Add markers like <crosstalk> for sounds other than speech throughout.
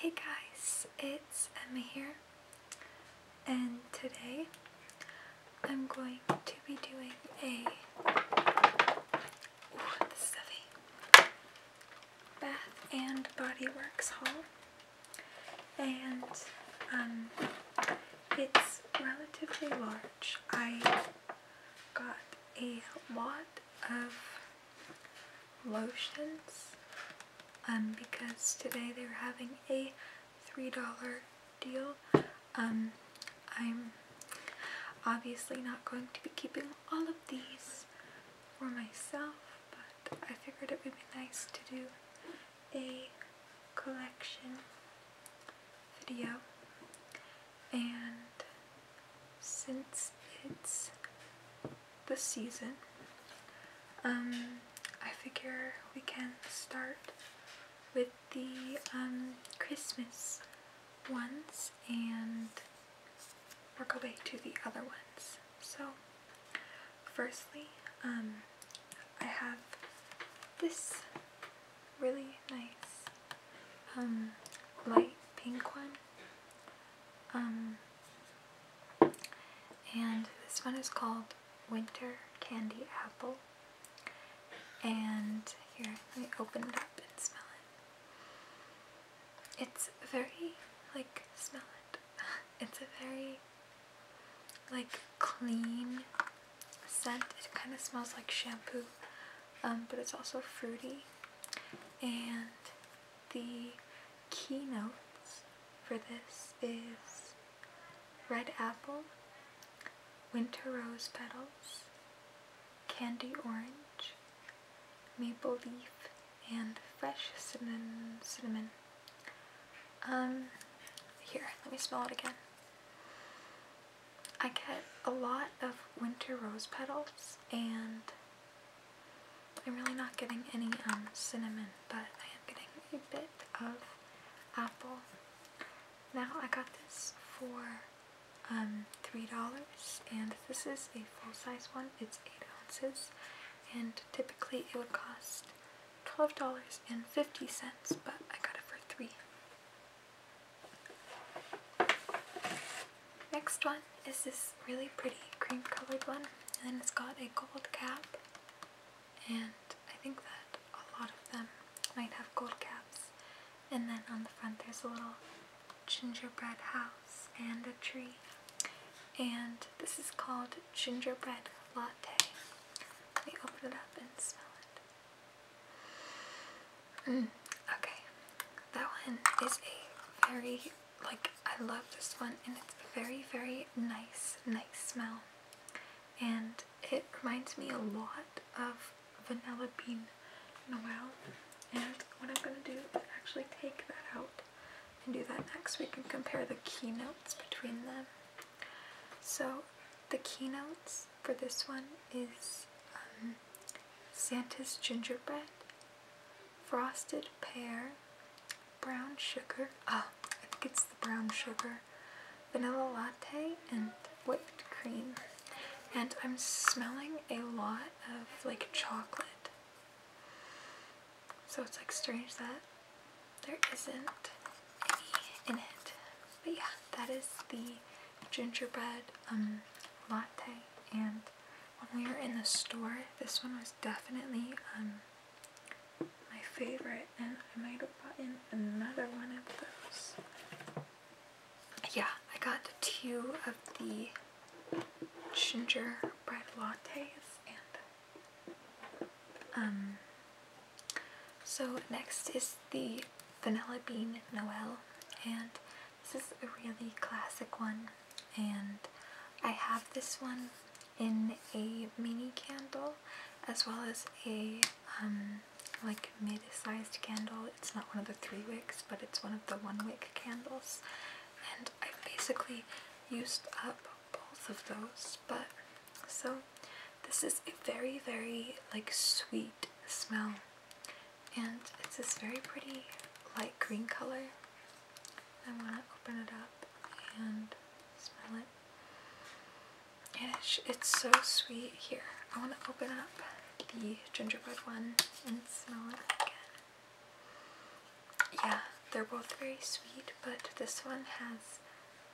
Hey guys, it's Emma here, and today I'm going to be doing a heavy, bath and body works haul, and um, it's relatively large. I got a lot of lotions um, because today they were having a $3 deal. Um, I'm obviously not going to be keeping all of these for myself, but I figured it would be nice to do a collection video. And since it's the season, um, I figure we can start with the um, Christmas ones and work our way to the other ones. So, firstly, um, I have this really nice light pink one. And this one is called Winter Candy Apple. And here, let me open it up and smell it. It's very, like, smell it. <laughs> It's a very, like, clean scent. It kind of smells like shampoo, um, but it's also fruity. And the keynotes for this is red apple, winter rose petals, candy orange, maple leaf, and fresh cinnamon. cinnamon. Um, here, let me smell it again. I get a lot of winter rose petals and I'm really not getting any um, cinnamon, but I am getting a bit of apple. Now I got this for um, $3 and this is a full-size one. It's 8 ounces and typically it would cost $12.50 but I got it for 3 Next one is this really pretty cream colored one and then it's got a gold cap and I think that a lot of them might have gold caps and then on the front there's a little gingerbread house and a tree and this is called gingerbread latte. Let me open it up and smell it. Mm, okay, that one is a very like I love this one and it's very very nice nice smell and it reminds me a lot of vanilla bean noel and what I'm gonna do is actually take that out and do that next we can compare the keynotes between them so the keynotes for this one is um, Santa's gingerbread frosted pear brown sugar. oh, I think it's the brown sugar, vanilla latte, and whipped cream. And I'm smelling a lot of like chocolate. So it's like strange that there isn't any in it. But yeah, that is the gingerbread um, latte and when we were in the store, this one was definitely um, my favorite, and I might have bought another one of those. Yeah, I got two of the gingerbread lattes, and um, so next is the vanilla bean Noel, and this is a really classic one and I have this one in a mini candle as well as a um, like mid-sized candle. It's not one of the three wicks, but it's one of the one wick candles. And i basically used up both of those, but so this is a very, very like sweet smell. And it's this very pretty light green color. I want to open it up and smell it. It's, so sweet here. I want to open up the gingerbread one and smell it again. Yeah, they're both very sweet, but this one has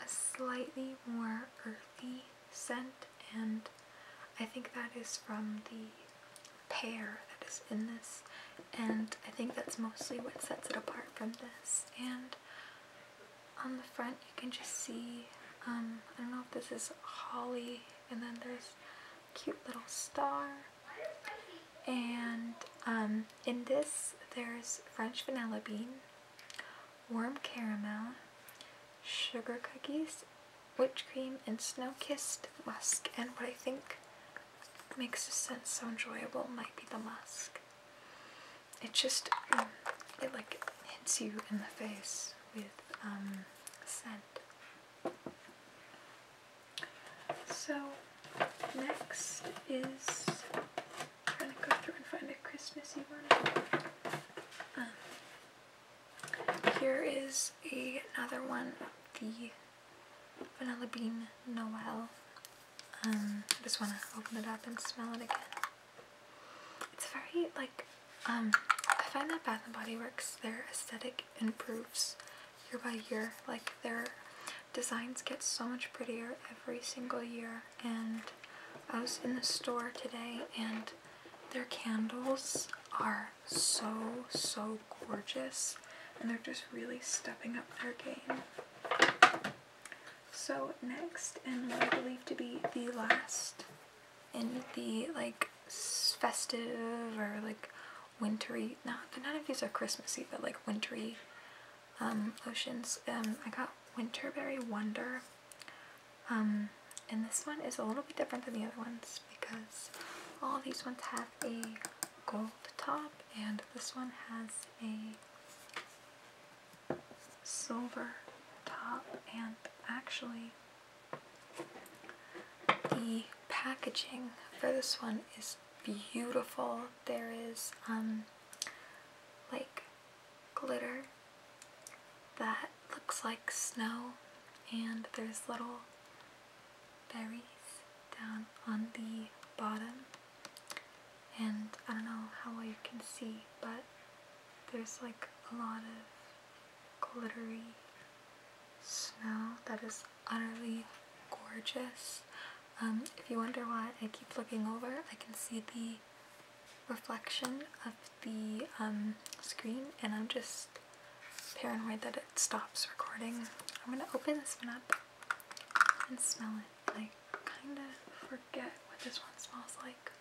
a slightly more earthy scent, and I think that is from the pear that is in this and I think that's mostly what sets it apart from this and on the front you can just see um, I don't know if this is holly and then there's cute little star and um, in this there's French vanilla bean, warm caramel, sugar cookies, witch cream, and snow-kissed musk and what I think makes the scent so enjoyable might be the musk. It just, mm, it like hits you in the face with um, scent. So next is I'm trying to go through and find a Christmassy one. Um, here is another one the vanilla bean Noel. Um, I just want to open it up and smell it again. It's very like um, I find that Bath and Body Works their aesthetic improves year by year. Like their designs get so much prettier every single year. And I was in the store today and their candles are so so gorgeous and they're just really stepping up their game. So next, and what I believe to be the last in the like festive or like wintry, no, none of these are Christmassy, but like wintry um, lotions, um, I got Winterberry Wonder. Um, and this one is a little bit different than the other ones because all these ones have a gold top and this one has a silver top and actually the packaging for this one is beautiful. There is um like glitter that looks like snow and there's little berries down on the bottom and I don't know how well you can see but there's like a lot of glittery snow that is utterly gorgeous. Um, if you wonder why I keep looking over, I can see the reflection of the um, screen and I'm just paranoid that it stops recording. I'm gonna open this one up and smell it. I kind of forget what this one smells like.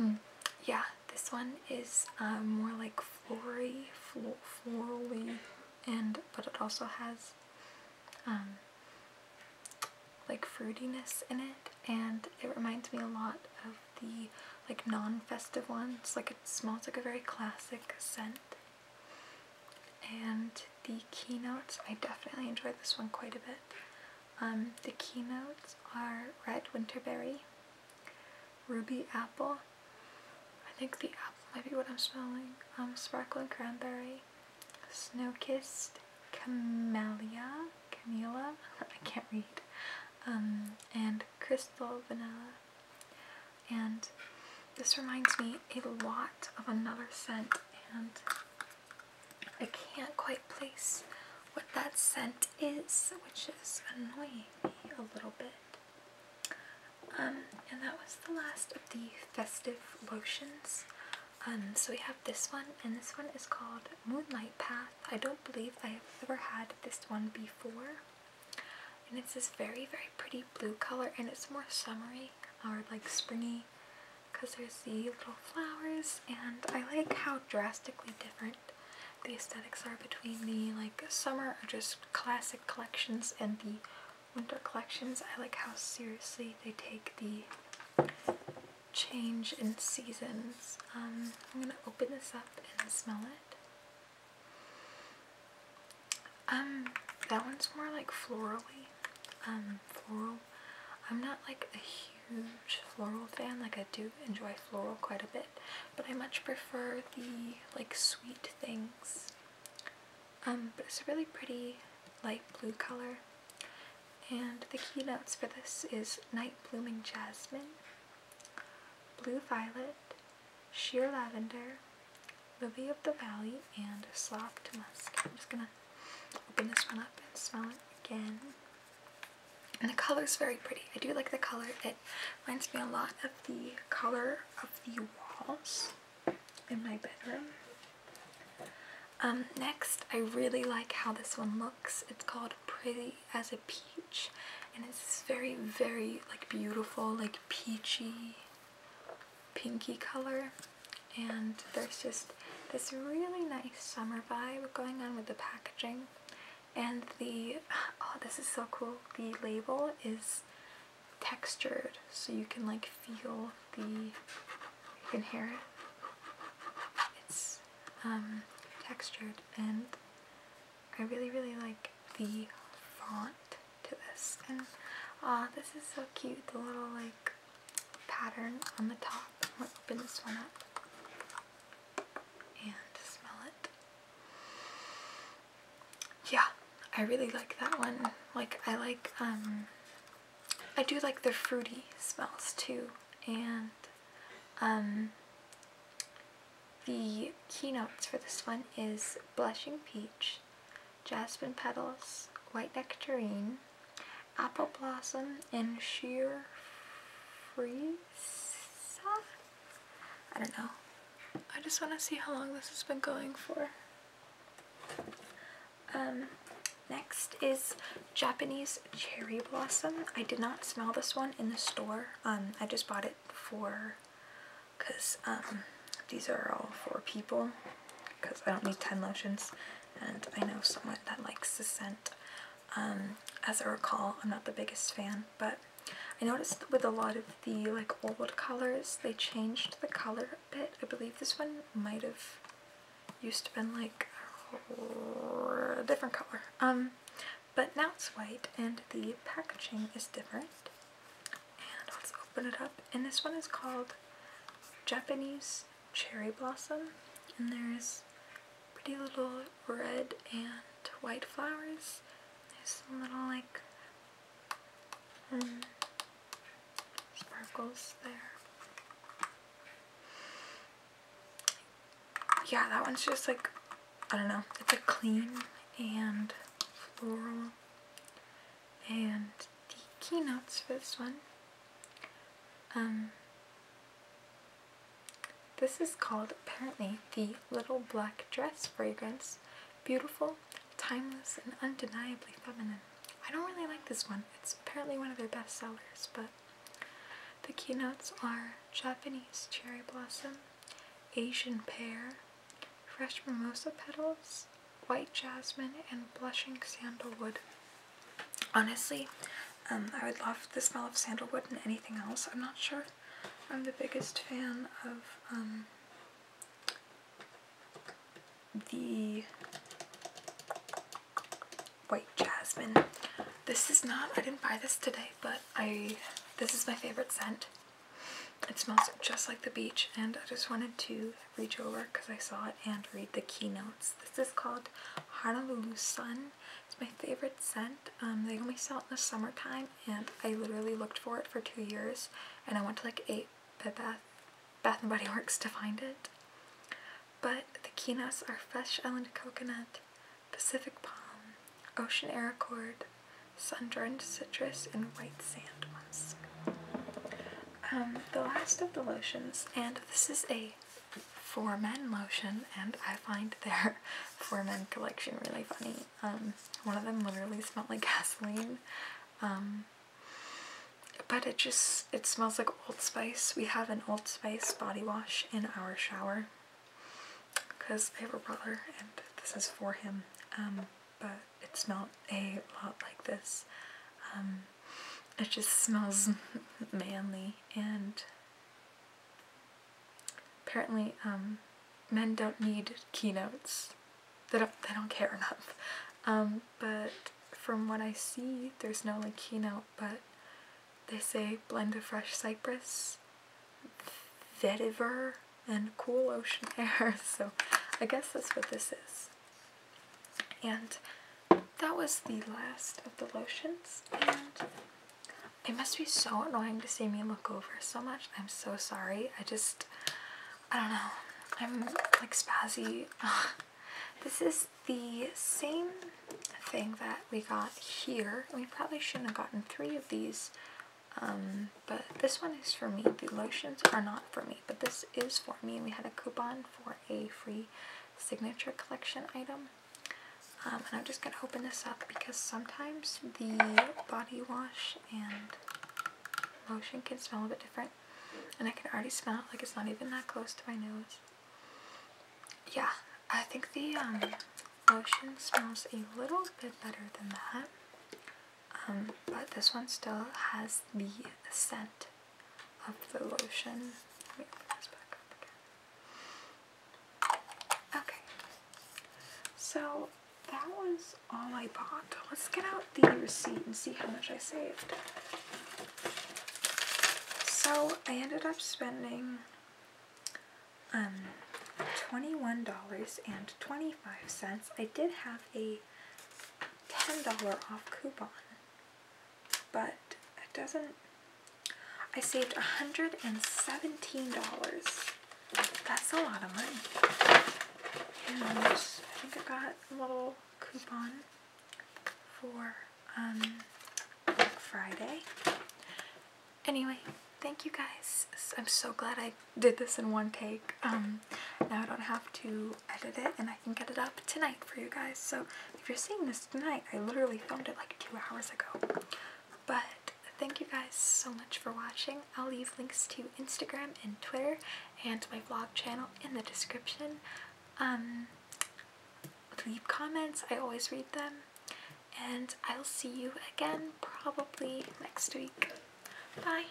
Mm. Yeah, this one is um, more like flory, florally, and but it also has um, like fruitiness in it, and it reminds me a lot of the like non-festive ones. Like it smells like a very classic scent. And the keynotes, I definitely enjoyed this one quite a bit. Um, the keynotes are Red Winterberry, Ruby Apple, I think the apple might be what I'm smelling, um, Sparkling Cranberry, Snow Kissed, Camellia, Camilla, <laughs> I can't read, um, and Crystal Vanilla. And this reminds me a lot of another scent, and I can't quite place what that scent is, which is annoying me a little bit. Um, and that was the last of the festive lotions. Um, so we have this one, and this one is called Moonlight Path. I don't believe I have ever had this one before and it's this very very pretty blue color and it's more summery or like springy because there's the little flowers and I like how drastically different the aesthetics are between the like summer or just classic collections and the winter collections. I like how seriously they take the change in seasons. Um, I'm gonna open this up and smell it. Um, that one's more like florally, um, floral. I'm not like a huge floral fan, like I do enjoy floral quite a bit, but I much prefer the like sweet things. Um, but it's a really pretty light blue color. And the keynotes for this is Night Blooming Jasmine, Blue Violet, sheer lavender, lily of the valley, and soft musk. I'm just gonna open this one up and smell it again. And the color is very pretty. I do like the color. It reminds me a lot of the color of the walls in my bedroom. Um, next, I really like how this one looks. It's called Pretty as a Peach, and it's very, very, like, beautiful, like, peachy pinky color and there's just this really nice summer vibe going on with the packaging and the oh this is so cool the label is textured so you can like feel the you can hear it it's um textured and I really really like the font to this. And uh, this is so cute, the little like pattern on the top. I'm gonna open this one up and smell it. Yeah, I really like that one. Like I like um I do like the fruity smells too and um the keynotes for this one is Blushing Peach, jasmine petals, white nectarine, apple blossom, and sheer freeze. I don't know. I just want to see how long this has been going for. Um, next is Japanese cherry blossom. I did not smell this one in the store. Um, I just bought it for because um, these are all for people because I don't need 10 lotions and I know someone that likes the scent. Um, as I recall, I'm not the biggest fan, but I noticed with a lot of the like old colors, they changed the color a bit. I believe this one might have used to been like a different color. Um, but now it's white and the packaging is different. And let's open it up. And this one is called Japanese Cherry Blossom. And there's pretty little red and white flowers. There's some little like um, sparkles there. Yeah, that one's just like, I don't know, it's a clean and floral and the keynotes for this one. Um, this is called apparently the Little Black Dress fragrance. Beautiful, timeless, and undeniably feminine. I don't really like this one. It's apparently one of their best sellers, but the keynotes are Japanese cherry blossom, Asian pear, fresh mimosa petals, white jasmine, and blushing sandalwood. Honestly, um, I would love the smell of sandalwood and anything else. I'm not sure. I'm the biggest fan of um, the white jasmine. This is not, I didn't buy this today, but I, this is my favorite scent. It smells just like the beach, and I just wanted to reach over because I saw it and read the keynotes. This is called Honolulu Sun. It's my favorite scent. Um, they only sell it in the summertime, and I literally looked for it for two years, and I went to like eight Bed Bath, and Body <laughs> Works to find it. But the keynotes are Fresh Island Coconut, Pacific Palm, Ocean Air Accord, Sun Drenched Citrus, and White Sand. Um, the last of the lotions, and this is a for men lotion, and I find their <laughs> for men collection really funny. Um, one of them literally smelled like <laughs> gasoline. Um, but it just it smells like Old Spice. We have an Old Spice body wash in our shower because I have a brother and this is for him. but it smells a lot like this. Um, it just smells <laughs> manly, and apparently, um, men don't need keynotes. They don't. They don't care enough. Um, but from what I see, there's no like keynote, but they say blend of fresh cypress, vetiver, and cool ocean <laughs> air. So I guess that's what this is. And that was the last of the lotions. And it must be so annoying to see me look over so much. I'm so sorry. I just, I don't know. I'm like spazzy. This is the same thing that we got here. We probably shouldn't have gotten three of these. Um, but this one is for me. The lotions are not for me, but this is for me. we had a coupon for a free signature collection item. Um, and I'm just going to open this up because sometimes the body wash and lotion can smell a bit different. And I can already smell it, like it's not even that close to my nose. Yeah, I think the um, lotion smells a little bit better than that. Um, but this one still has the scent of the lotion. Okay, so that was all I bought. Let's get out the receipt and see how much I saved. So I ended up spending um, $21.25. I did have a $10 off coupon. But it doesn't. I saved $117. That's a lot of money. And I think I got a little coupon for um, Friday. Anyway, thank you guys. I'm so glad I did this in one take. Um, now I don't have to edit it and I can get it up tonight for you guys. So if you're seeing this tonight, I literally filmed it like two hours ago. But thank you guys so much for watching. I'll leave links to Instagram and Twitter and my vlog channel in the description. Um, leave comments, I always read them. And I'll see you again probably next week. Bye!